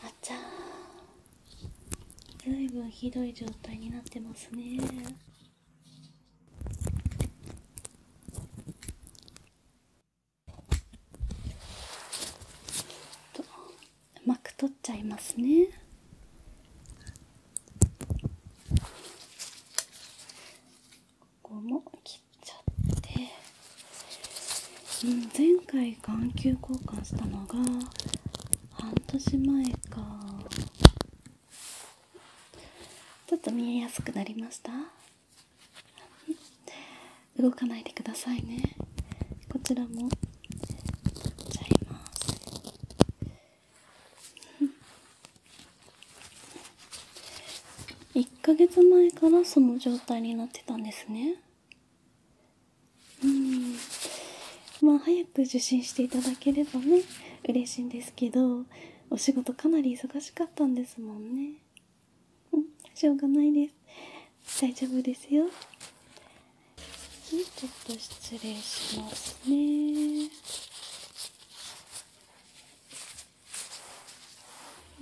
あちゃーずいぶんひどい状態になってますねとうまく取っちゃいますねここも切っちゃって、ん、前回眼球交換したのが半年前かちょっと見えやすくなりました動かないでくださいねこちらも切っちゃいます1ヶ月前からその状態になってたんですねうんまあ早く受診していただければね嬉しいんですけどお仕事かなり忙しかったんですもんねうんしょうがないです大丈夫ですよちょっと失礼しますね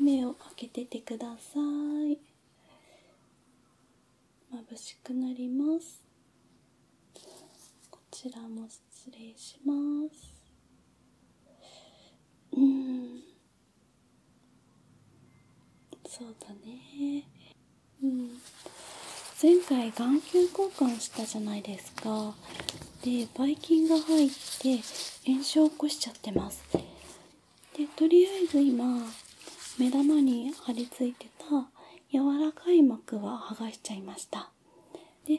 目を開けててください眩しくなりますこちらも失礼しますうんそうだねうん、前回眼球交換したじゃないですかでばい菌が入って炎症を起こしちゃってますでとりあえず今目玉に張り付いてた柔らかい膜は剥がしちゃいましたで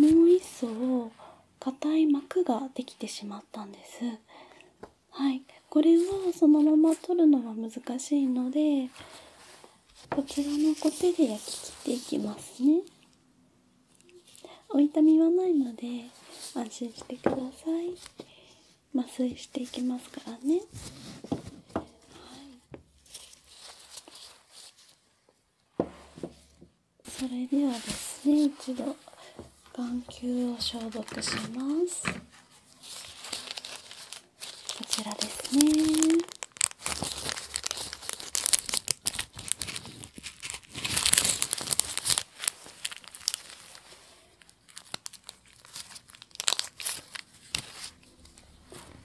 もう一層硬い膜ができてしまったんですはいこれはそのまま取るのは難しいのでこちらのコテで焼き切っていきますねお痛みはないので安心してください麻酔していきますからねはいそれではですね一度眼球を消毒しますこちらですね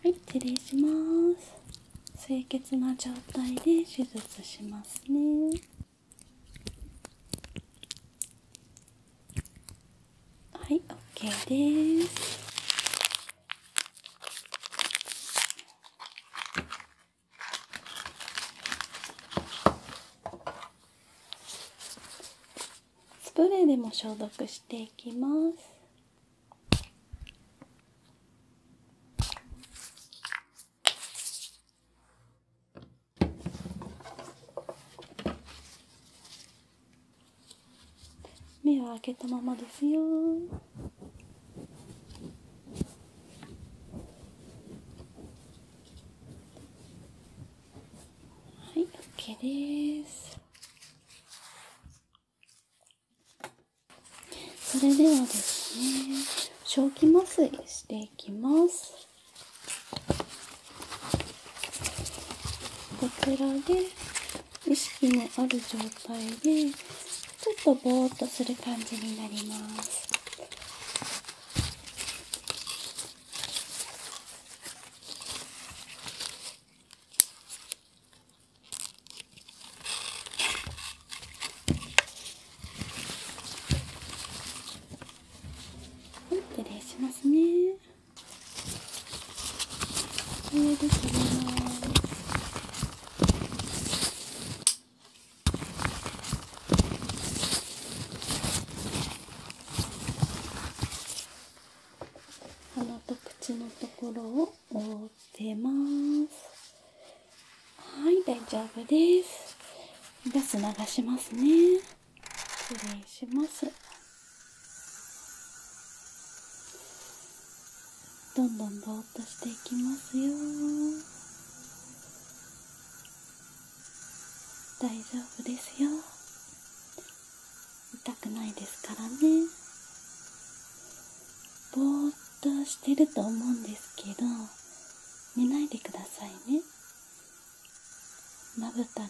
はい失礼します清潔な状態で手術しますねはい OK ですスプレーでも消毒していきます目は開けたままですよはい OK ですそれではですね正気麻酔していきますこちらで意識のある状態でちょっとぼーっとする感じになります失礼しますね。これです鼻と口のところを覆ってますはい大丈夫ですガス流しますね失礼しますどんどんぼーっとしていきますよ大丈夫ですよ痛くないですからねぼーっとしてると思うんですけど寝ないでくださいねまぶたが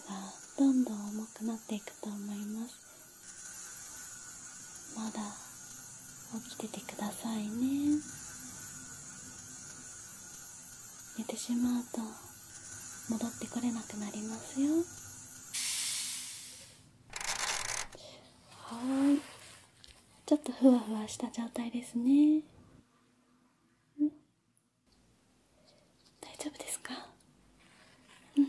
どんどん重くなっていくと思いますまだ起きててくださいね寝てしまうと戻ってこれなくなりますよはーいちょっとふわふわした状態ですね大丈夫ですかうん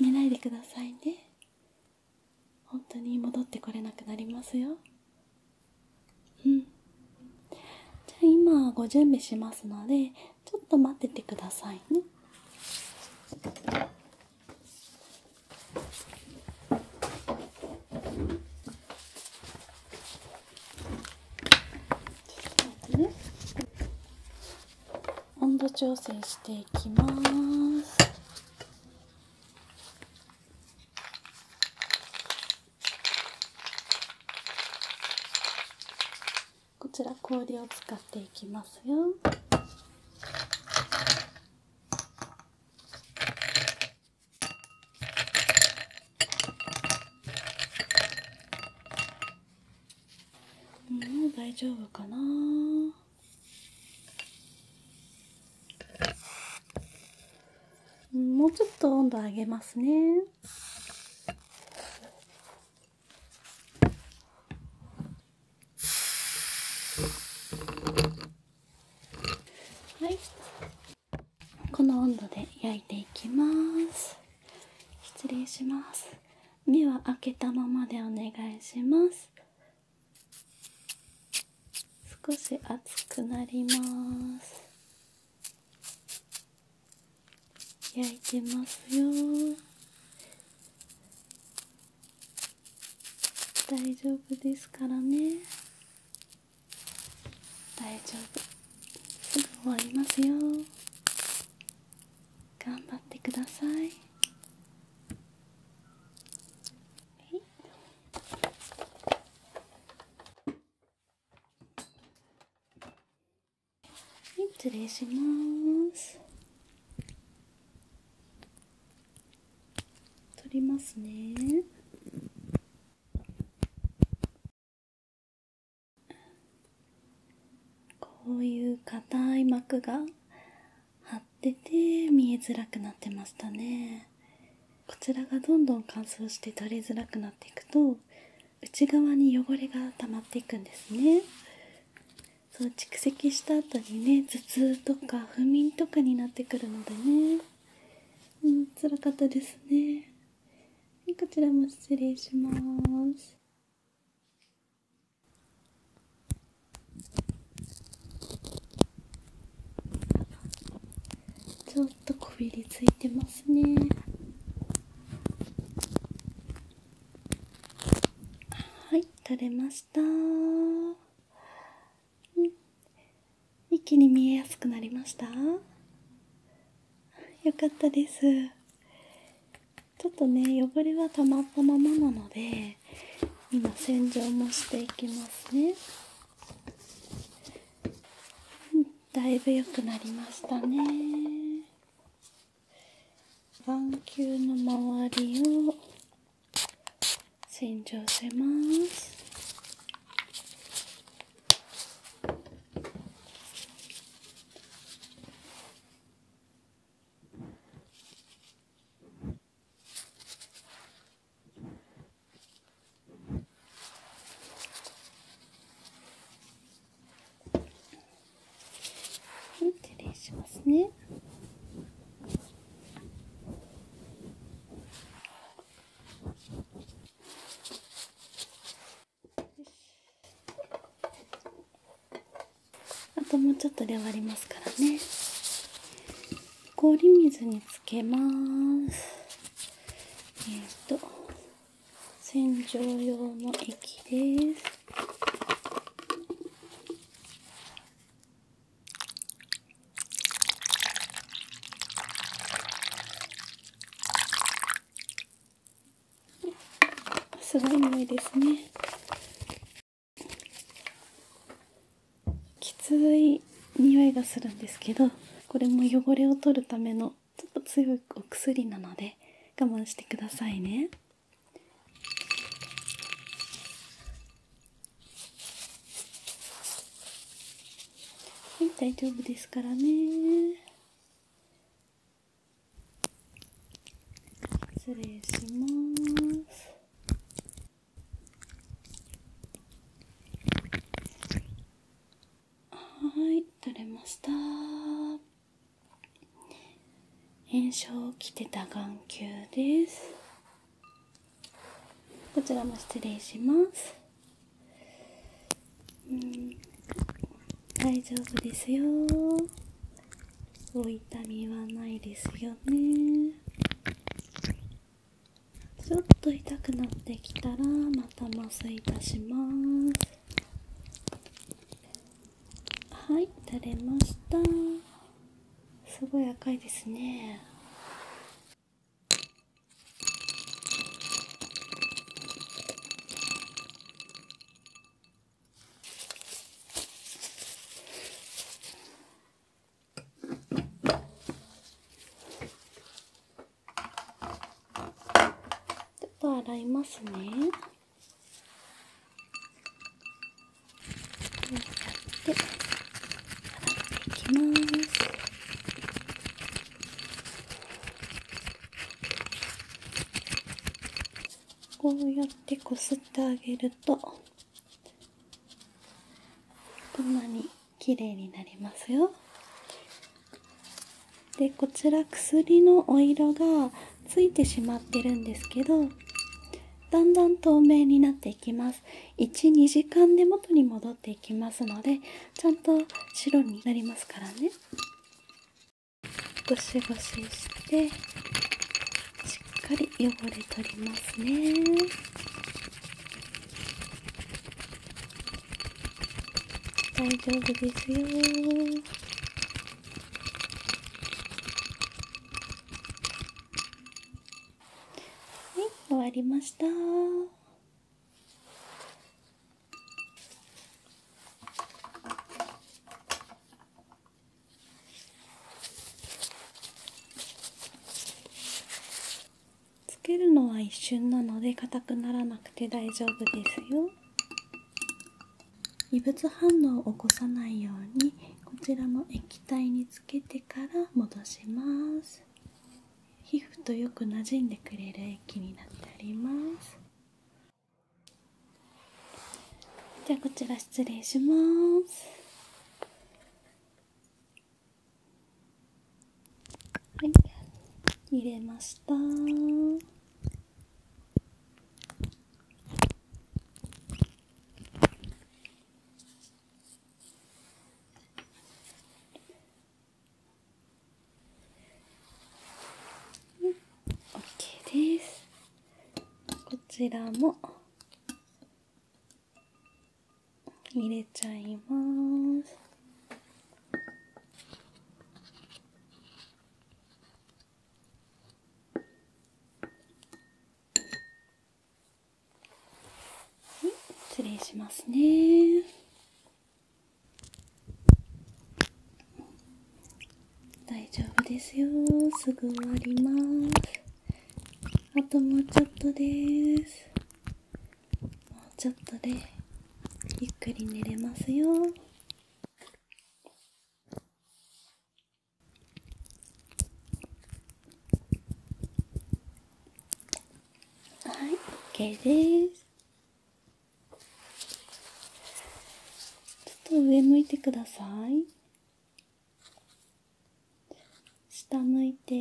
寝ないでくださいね本当に戻ってこれなくなりますようんじゃあ今ご準備しますのでちょっと待っててくださいねね、温度調整していきますこちら氷を使っていきますよもう大丈夫かなもうちょっと温度上げますねはいこの温度で焼いていきます失礼します目は開けたままでお願いします少し熱くなります焼いてますよ大丈夫ですからね大丈夫すぐ終わりますよ頑張ってくださいはい。失礼します取りますねこういう硬い膜が張ってて見えづらくなってましたねこちらがどんどん乾燥して取れづらくなっていくと内側に汚れが溜まっていくんですねそう蓄積した後にね頭痛とか不眠とかになってくるのでねうん辛かったですねこちらも失礼します。ちょっとこびりついてますね。はい、取れました。うん、一気に見えやすくなりましたよかったですちょっとね汚れはたまったままなので今洗浄もしていきますね、だいぶ良くなりましたね眼球の周りを洗浄します失礼しますね。あともうちょっとで終わりますからね氷水につけますえっ、ー、と洗浄用の液ですすごい匂いですねきつい匂いがするんですけどこれも汚れを取るためのちょっと強いお薬なので我慢してくださいねはい、大丈夫ですからね。失礼します。はい、取れました。炎症をきてた眼球です。こちらも失礼します大丈夫ですよお痛みはないですよねちょっと痛くなってきたらまた麻酔いたしますはい垂れましたすごい赤いですねと洗いますね。やって洗っていきます。こうやってこすってあげるとこんなに綺麗になりますよでこちら薬のお色がついてしまってるんですけどだんだん透明になっていきます12時間で元に戻っていきますのでちゃんと白になりますからねゴシゴシしてしっかり汚れ取りますね大丈夫ですよ終わりました。つけるのは一瞬なので硬くならなくて大丈夫ですよ異物反応を起こさないようにこちらの液体につけてから戻します皮膚とよくなじんでくれる液になっておりますじゃあこちら失礼しますはい入れました OK ですこちらも入れちゃいます失礼しますね大丈夫ですよすぐ終わりますあともうちょっとですもうちょっとでゆっくり寝れますよはい OK ですちょっと上向いてください下向いて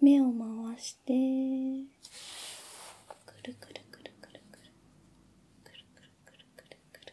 目を回してくるくるくるくるくるくるくるくるくるくる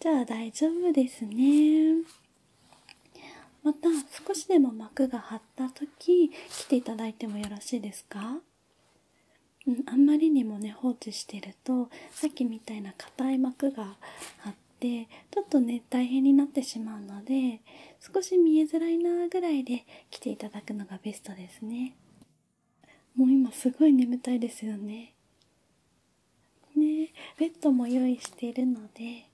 じゃあ大丈夫ですねまた少しでも膜が張った時来ていただいてもよろしいですかうん、あんまりにもね放置してるとさっきみたいな硬い膜があってちょっとね大変になってしまうので少し見えづらいなぐらいで来ていただくのがベストですねもう今すごい眠たいですよねねベッドも用意しているので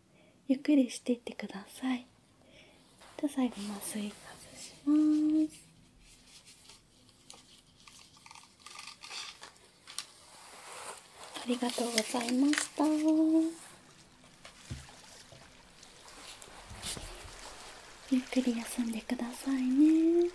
ゆっくりしていってくださいじゃ最後麻酔外しますありがとうございましたゆっくり休んでくださいね